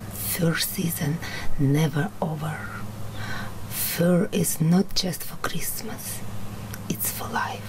Fur season never over. Fur is not just for Christmas, it's for life.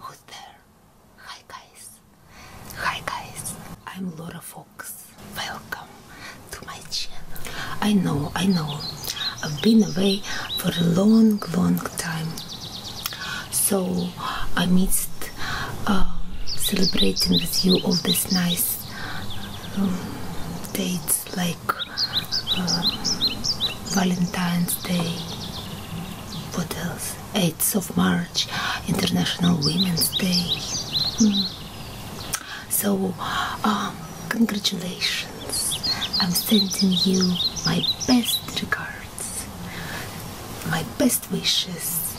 Who's there? Hi guys. Hi guys. I'm Laura Fox. Welcome to my channel. I know, I know. I've been away for a long, long time. So I missed um, celebrating with you all these nice um, dates like uh, Valentine's Day. What else? 8th of March. International Women's Day. Hmm. So, um, congratulations. I'm sending you my best regards, my best wishes,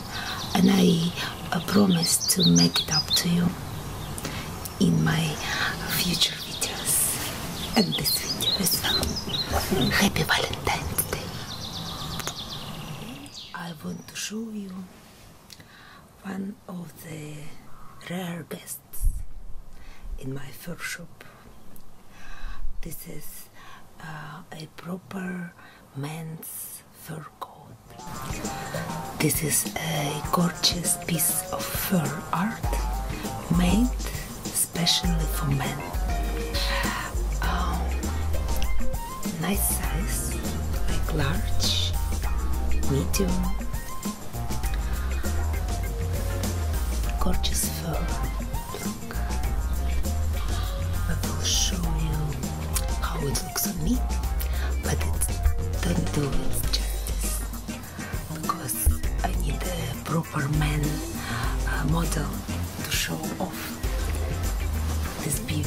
and I uh, promise to make it up to you in my future videos and this video is well. Happy Valentine's Day. I want to show you one of the rare guests in my fur shop. This is uh, a proper man's fur coat. This is a gorgeous piece of fur art made especially for men. Um, nice size, like large, medium, gorgeous fur. Look, I will show you how it looks on me, but don't do it justice because I need a proper for men uh, model to show off this beauty.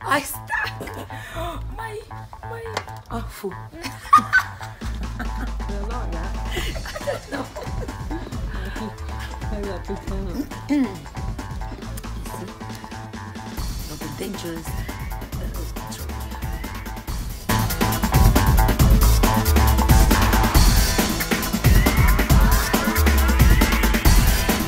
I stuck. My my. Oh, fu. You're not that. I I got to come. You see, dangerous. Uh,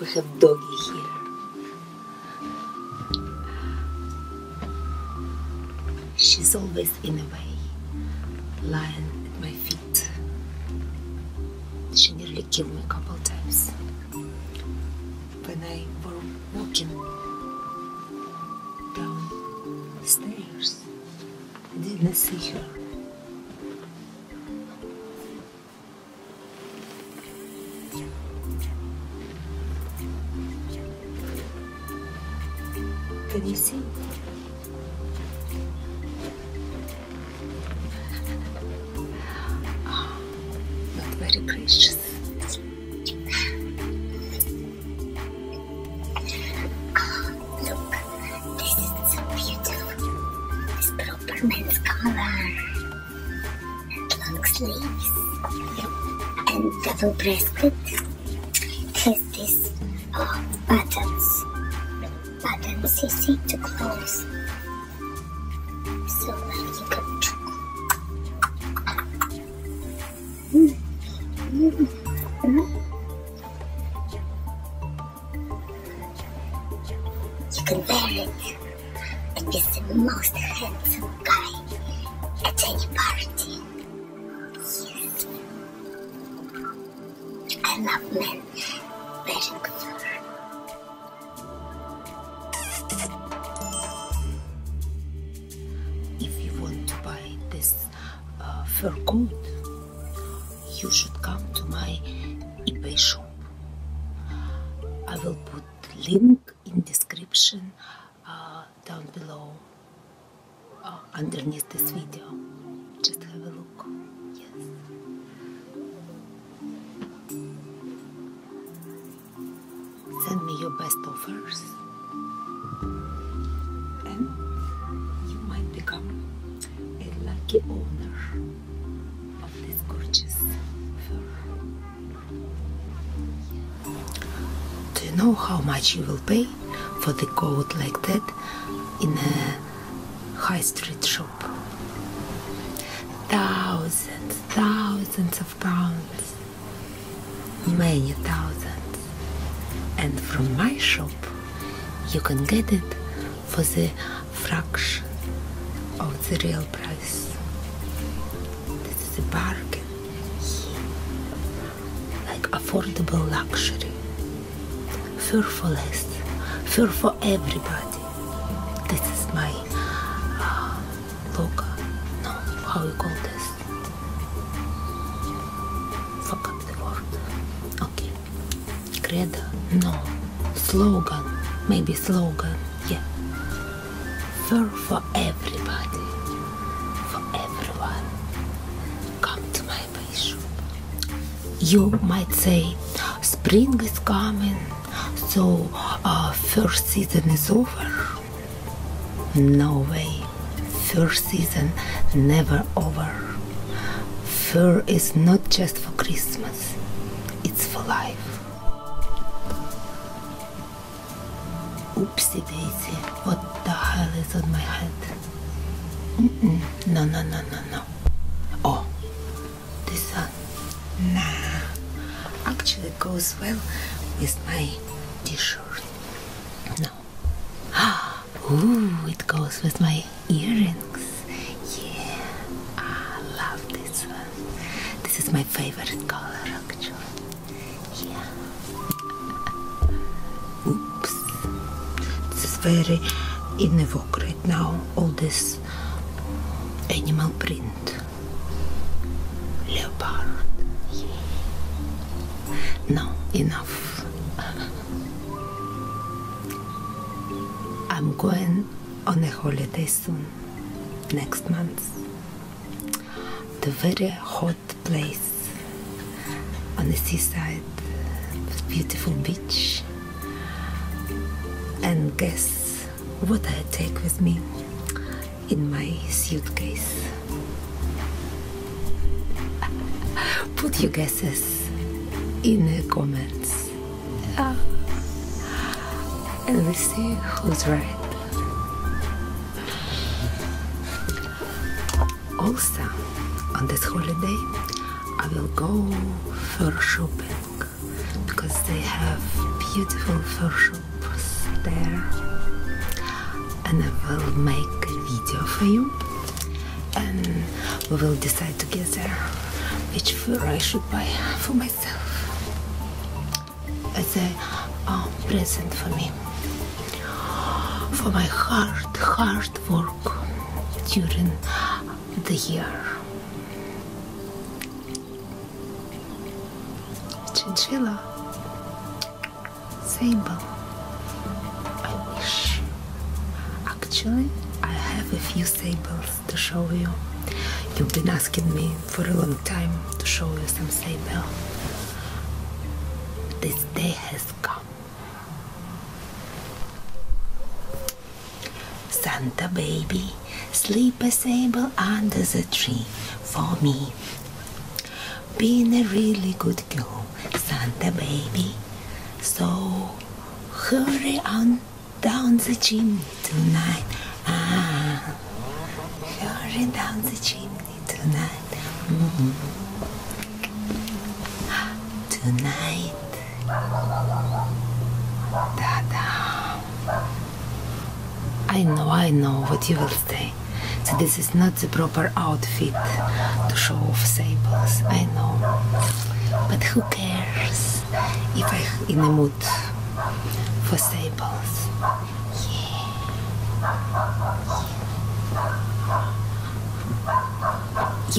We have doggy here. She's always in a way, lying at my feet. She nearly killed me a couple times when I was walking down stairs didn't see her. Can you see? Oh, not very precious look, this is so beautiful. This proper man's collar. long sleeves. And double breasted. Has this oh, buttons. Buttons you to close. So like you can Mm. You can very and be the most handsome guy at any party. Yes. I love men wearing fur. If you want to buy this uh, for good, you should come to my eBay shop. I will put link in description uh, down below uh, underneath this video. Just have a look. Send me your best offers and you might become a lucky owner of this gorgeous fur. Do you know how much you will pay for the coat like that in a high street shop? Thousands, thousands of pounds many thousands and from my shop you can get it for the fraction of the real price this is a bargain like affordable luxury fur for less fur for everybody this is my uh, no how you call this Fuck up the world. Okay. Credo. No. Slogan. Maybe slogan. Yeah. Fur for everybody. For everyone. Come to my bishop. You might say spring is coming, so uh, first season is over. No way. Fur season never over. Fur is not just for Christmas, it's for life. Oopsie daisy, what the hell is on my head? No, no, no, no, no. Oh, this one. Nah, actually goes well with my t-shirt. No. Ooh, it goes with my earrings. Yeah, I love this one. This is my favorite color, actually. Yeah. Oops. This is very in right now. All this animal print. Leopard. Yeah. No, enough. I'm going on a holiday soon, next month. The very hot place on the seaside, beautiful beach. And guess what I take with me? in my suitcase. Put your guesses in the comments. Ah. and we see who's right. Also, on this holiday, I will go for shopping because they have beautiful fur troops there and I will make a video for you and we will decide together which fur I should buy for myself as a present for me for my hard hard work during the year chinchilla Sable, I wish. Actually, I have a few sables to show you. You've been asking me for a long time to show you some sable. This day has come. Santa baby, sleep a sable under the tree for me been a really good girl, Santa baby. So hurry on down the chimney tonight. Ah, hurry down the chimney tonight. Mm-hmm. Tonight. Ta-da. I know, I know what you will say. this is not the proper outfit to show off sables. I know. But who cares if I'm in the mood for sables?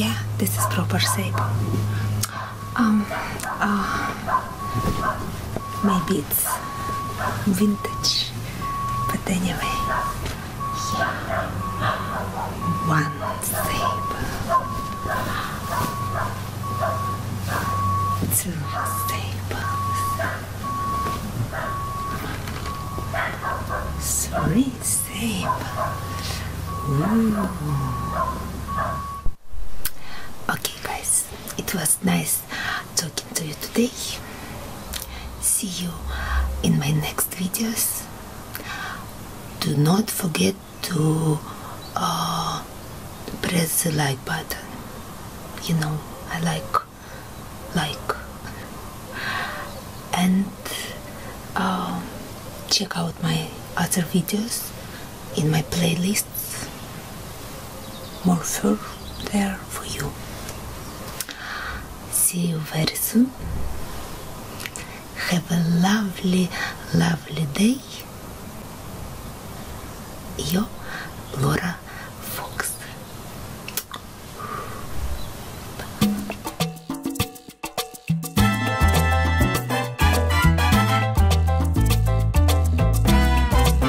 Yeah. this is proper sable. Um, uh, Maybe it's vintage, but anyway, yeah. One saber, two sabers, three sabers. Okay, guys, it was nice talking to you today. See you in my next videos. Do not forget to uh, press the like button. You know, I like like and um, check out my other videos in my playlist more fur there for you. See you very soon. Have a lovely, lovely day. Yo, Laura Fox.